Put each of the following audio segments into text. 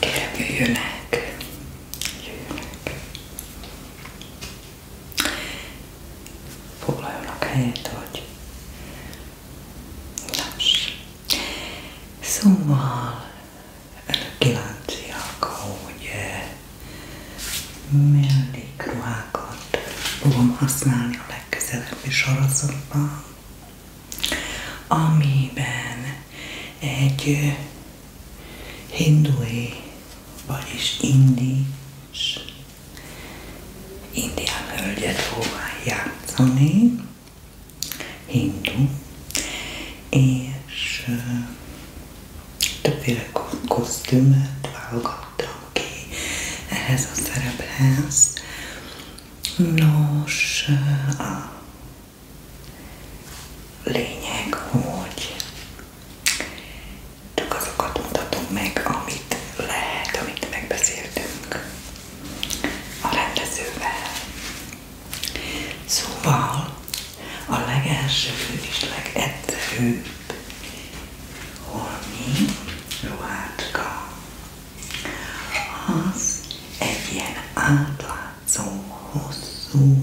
Kérem, jöjjönek! Jöjjönek! Foglaljanak helyet, hogy... Nos. Szóval kíváncsi hogy eh, mellékruhákat fogom használni a legközelebbi sorozatban amiben egy hindui, vagyis indi indián hölgyet fogják játszani, hindu, és többféle kosztümöt válogattam ki ehhez a szerephez. Nos, a Lényeg, hogy csak azokat mutatom meg, amit lehet, amit megbeszéltünk a rendezővel. Szóval a legelső és legegyszerűbb holmi ruhácska az egy ilyen átlátszó, hosszú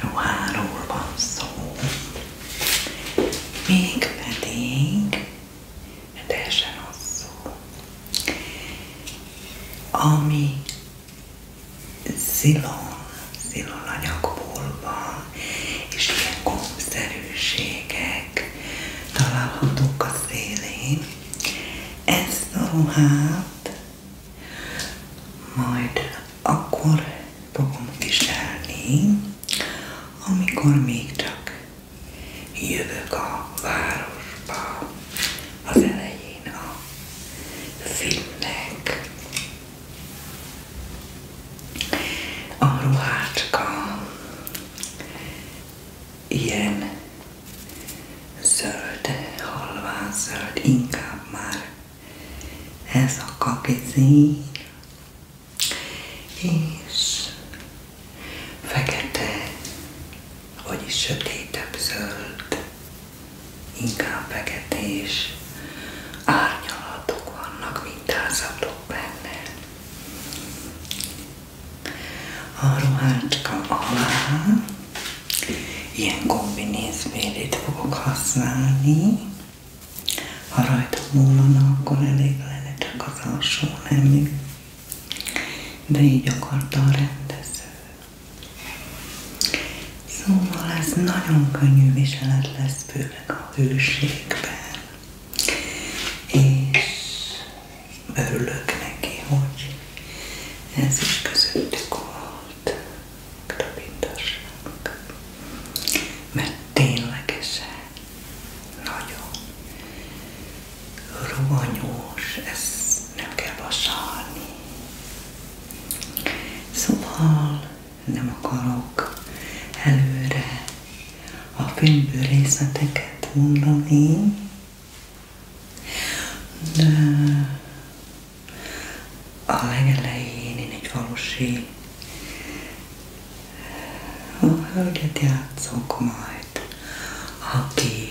ruháról van mégpedig teljesen hosszú, ami szilon, szilon anyagból van, és ilyen gombszerűségek találhatók a szélén, ezt a ruhát majd akkor fogom viselni, amikor még csak jövök a városba az elején a filmnek. A ruhácska ilyen zöld, halvány zöld, inkább már ez a kakizín, és fekete, vagyis sötétebb zöld, inkább feketés árnyalatok vannak, mintázzatok benne. A ruhácska alá ilyen kombinézbélét fogok használni. Ha rajta múlana, akkor elég lenne csak az alsó nemű. De így akarta a rendező. Szóval ez nagyon könnyű viselet lesz, főleg a hőségben és örülök neki, hogy ez is közöttük volt Krabindasnak, mert ténylegesen nagyon rohanyós, ezt nem kell vasalni. Szóval nem akarok előre a filmből részleteket mondani, de a legelején én egy falusi hölgyet játszok majd, aki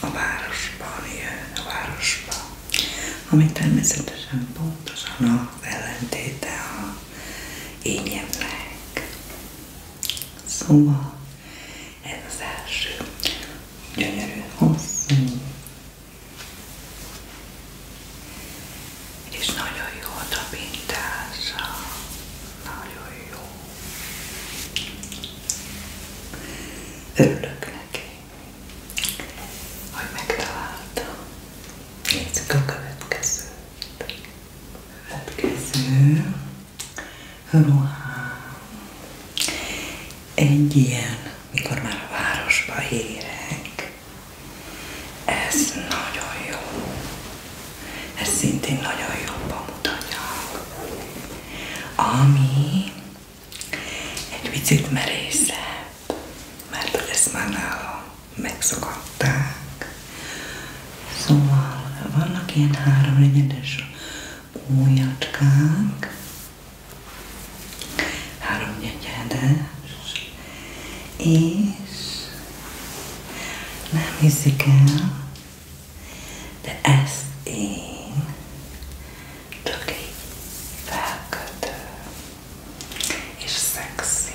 a városban jön, a városba, ami természetesen pontosan az ellentéte a énjemnek. Szóval ez az első. Gyönyörű, hosszú. És nagyon jó a tapintása. Nagyon jó. Örülök neki, hogy megtaláltam. Nézzük a következőt következő ruhám egy ilyen, mikor már a városba érek. Ez nagyon jó. Ez szintén nagyon jó pamutanyag. Ami egy picit merészebb, mert ez már nálam megszakadták. Szóval vannak ilyen három negyedes ujjacskák, három negyedes, és nem hiszik el, de ezt én csak így és szexi,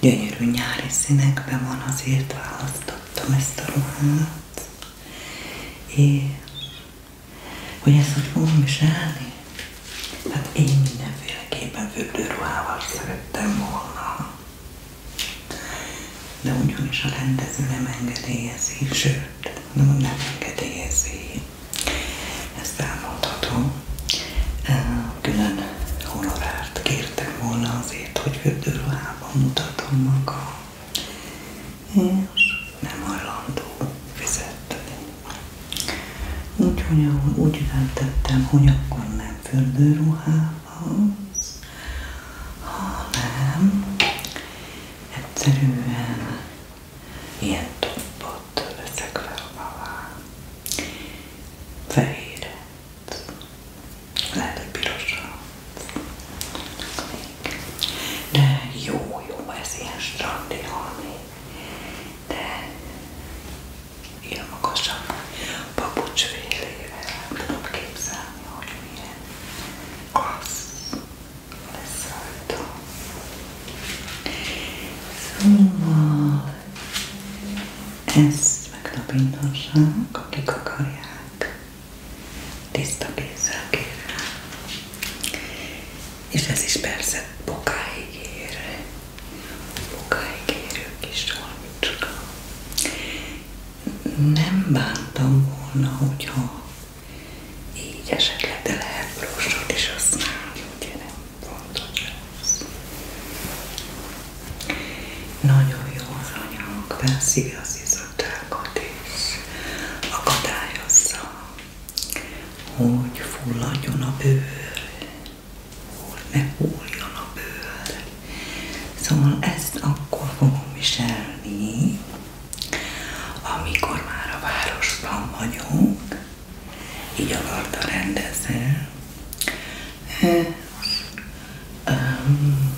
gyönyörű nyári színekben van, azért választottam ezt a ruhát. És hogy ezt hogy fogom viselni? Hát én mindenféleképpen fürdőruhával szerettem volna. De ugyanis a rendező nem engedélyezi, sőt, nem, nem engedélyezi. Ezt elmondhatom. Külön honorárt kér kértek volna azért, hogy fürdőruhában mutatom magam, és nem hajlandó fizetni. Úgyhogy úgy jelentettem, hogy akkor nem fürdőruhához, hanem egyszerűen ilyen toppot veszek fel alá. Fehére, lehet, hogy pirosra de jó, jó, ez ilyen strandi halmi, de ilyen magasabb papucsfélével nem tudom képzelni, hogy milyen klassz lesz rajta. Szóval ezt megnapinthassák, akik akarják. Tiszta kézzel kérem. És ez is persze bokáig ér. Bokáig érő kis olmicska. Nem bántam volna, hogyha így esetleg, de lehet brostot is használni, ugye nem fontos lesz. Nagyon jó anyag, beszívi az izotákat és akadályozza, hogy fulladjon a bőr, hogy ne hulljon a bőr. Szóval ezt akkor fogom viselni, amikor már a városban vagyunk, így a rendezel, most hát, um,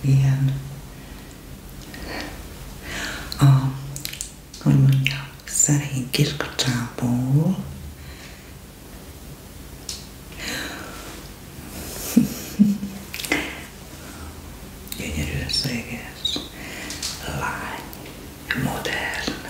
ilyen a, hogy mondjam, szerény kiskacsából gyönyörű széges, lány, modern,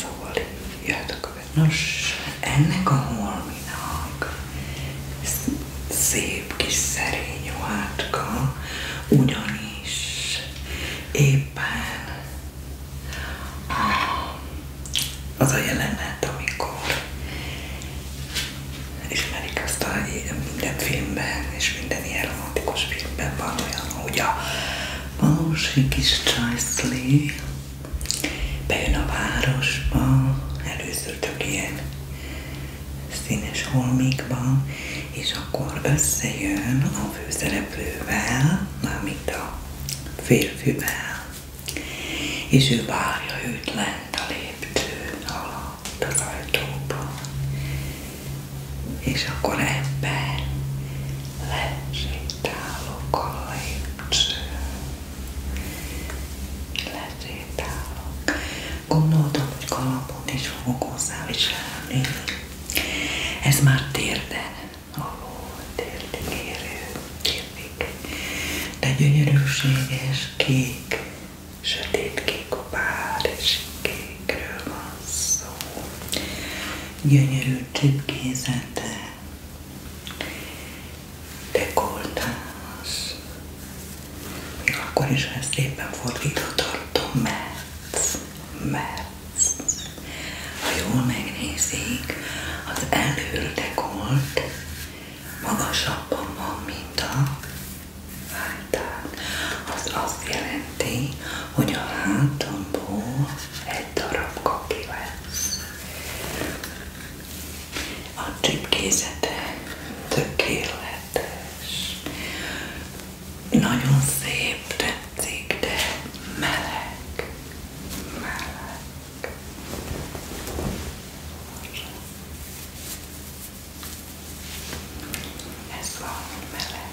Szóval így jöhet a követ. Nos, ennek a holminak szép kis szerény ruhátka, ugyanis éppen az a jelenet, amikor ismerik azt a minden filmben és minden ilyen romantikus filmben van olyan, hogy a valósi kis csajszlé, bejön a városba, először több ilyen színes holmikba, és akkor összejön a főszereplővel, mármint a férfivel, és ő várja őt lent a lépcső alatt az ajtóban és akkor ebben lesétálok a lépcsőn. Lesétálok. Gondoltam, hogy kalapot is fogok hozzá Ez már térden, ahol térdig érő, térdig. De gyönyörűséges kék, sötét kék a pár, és kék kékről van szó. Gyönyörű csipkézete, dekoltás. Még akkor is, ha ezt éppen fordítva tartom, mert, mert ha jól megnézik, az előre dekolt magasabban van, mint a hátán, az azt jelenti, hogy a hátamból egy darab kaki lesz. A csipkézete tökéletes. Nagyon szép, tetszik, de meleg. Meleg. Ez van meleg.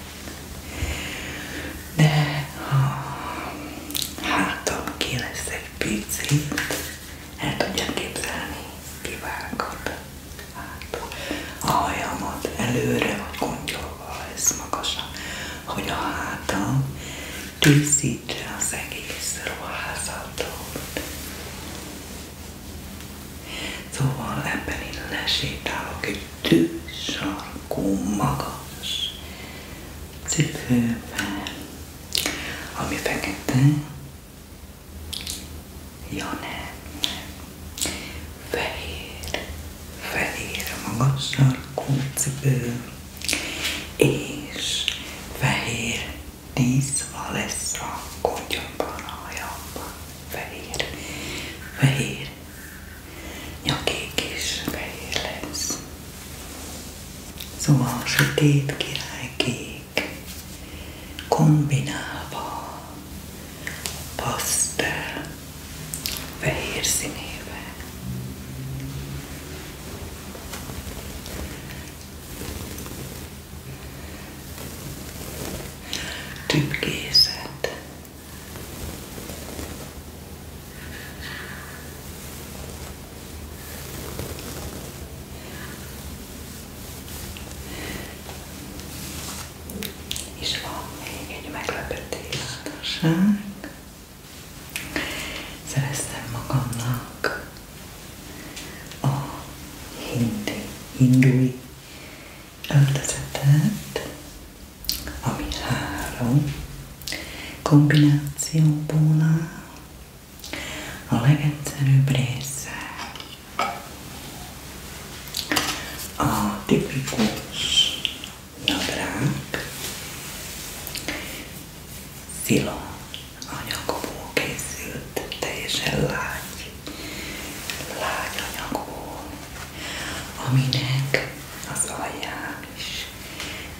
De ha hátam ki lesz egy picit, el tudják képzelni, kivágod hát, a hajamat előre, vagy kontyolva lesz magasan, hogy a hátam tisztítse az egész ruházatot. Szóval ebben én lesétálok egy tűzsarkú magas cipőben, ami fekete, ja nem, fehér, fehér magas sarkú cipő, és fehér díszva lesz a gondjomban, a hajamban fehér, fehér, nyakig is fehér lesz. Szóval a sötét királykék kombinálva pasztel fehér színébe tüpkészet, és van még egy meglepetés adosság. Szereztem magamnak a hindi, hindui öltözetet, ami három kombinációból áll. A legegyszerűbb része a tipikus nadrág, szilon anyagból készült, teljesen lágy lágy anyagból, aminek az alján is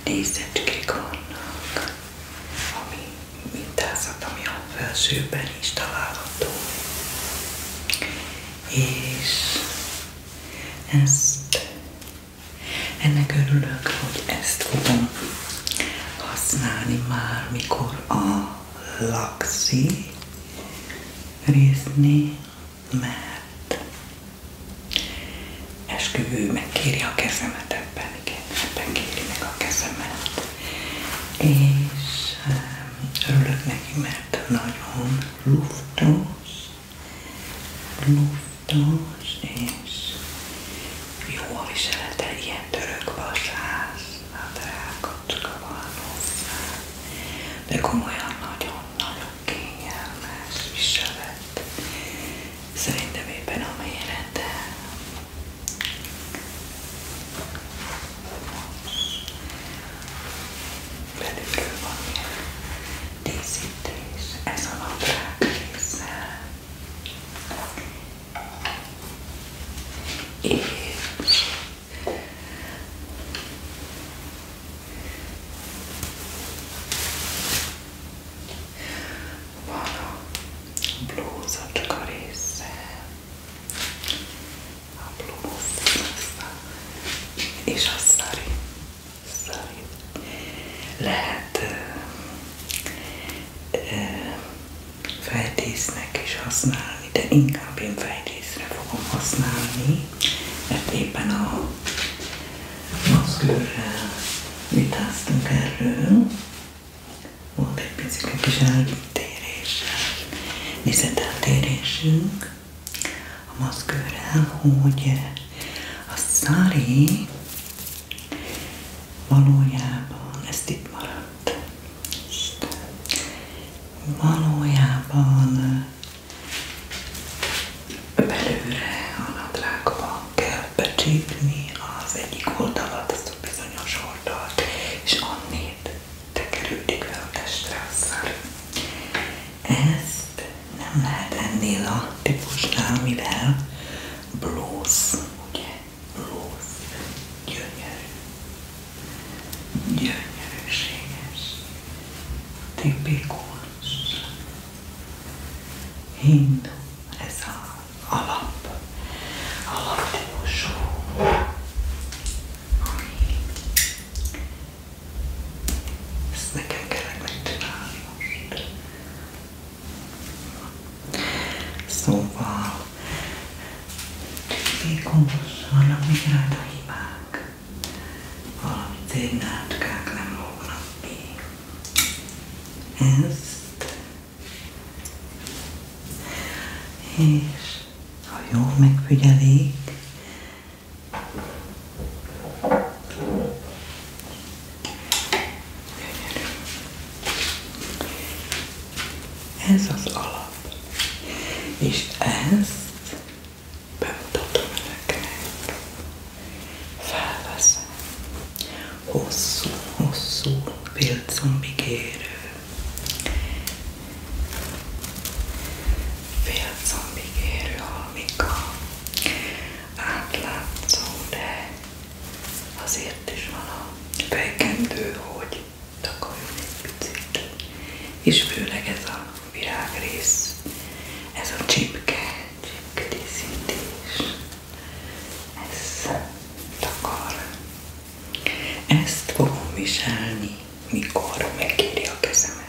nézecskék ami mintázat, ami felsőben is És ezt, ennek örülök, hogy ezt fogom használni már, mikor a laksi részni, mert esküvő kéri a kezemet ebben, igen, ebben kéri meg a kezemet. És örülök neki, mert nagyon luftos, luftos, és jó a viselete, ilyen török vasász, a drága macskavaló de komolyan nagyon-nagyon kényelmes viselet szerintem éppen a mérete belülről van ilyen díszítés ez a naprág része és van a blúza csak a része. A blúz. És a szari. Szari. Lehet fejrésznek is használni, de inkább én fejrészre fogom használni, mert éppen a maszkőrrel vitáztunk erről. Volt egy picike kis eltérés, nézeteltérésünk a maszkőrrel, hogy a szári valójában ezt itt maradt. Valójában belőle a nadrágba kell becsípni az egyik oldalat, azt a bizonyos oldalt, és annét tekerődik fel a testre azzal. Ezt nem lehet ennél a típusnál, mivel blóz, ugye, rossz, gyönyörű, gyönyörűséges, tipikus, hindu, ez az alap, alaptípusú, ami ezt nekem kellene megcsinálni most. Szóval Tékomos, vannak még rajta hibák. Valami cégnátkák nem lógnak ki. Ezt és ha jól megfigyelik, ez az alap. És ezt bemutatom neked. Felveszem. Hosszú, hosszú félcombigérő. Félcombigérő almika. Átlátszó, de Azért is van a fejkendő, hogy takarjon egy picit. És főleg ez a virágrész, ez a csipke, csipke díszítés, ez takar. Ezt fogom viselni, mikor megkéri a kezemet.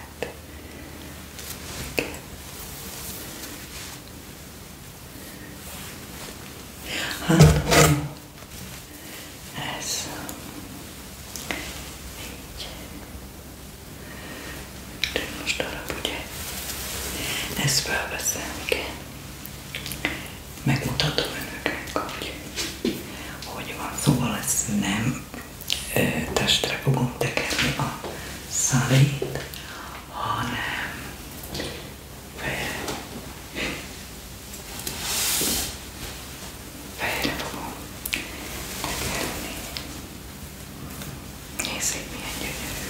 Hát, ez. Így. De most arra ugye, ezt felveszem, igen. Megmutatom önöknek, hogy hogy van. Szóval ezt nem ö, testre fogom tekerni a szalét, hanem fejre. Fejre fogom tekerni. Nézzék, milyen gyönyörű.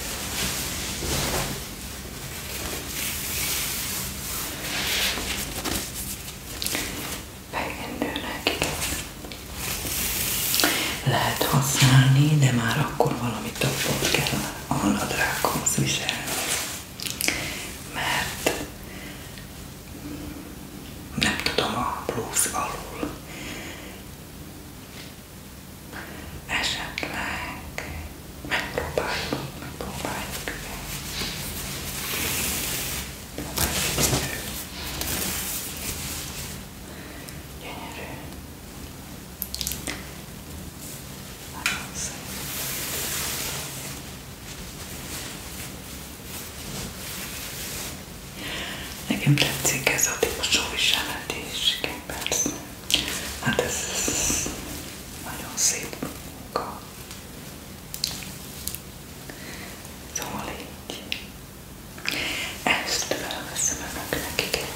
Fejendőnek lehet használni, de már akkor valamit tapot kell a nadrághoz viselni, mert nem tudom a blúz alul esetleg megpróbáljuk, megpróbáljuk Gyönyörű. Gyönyörű. Nagyon szép. Nekem tetszik ez a típusú viselet is, persze. Hát ez, ez nagyon szép munka. Szóval így. Ezt felveszem önöknek, igen.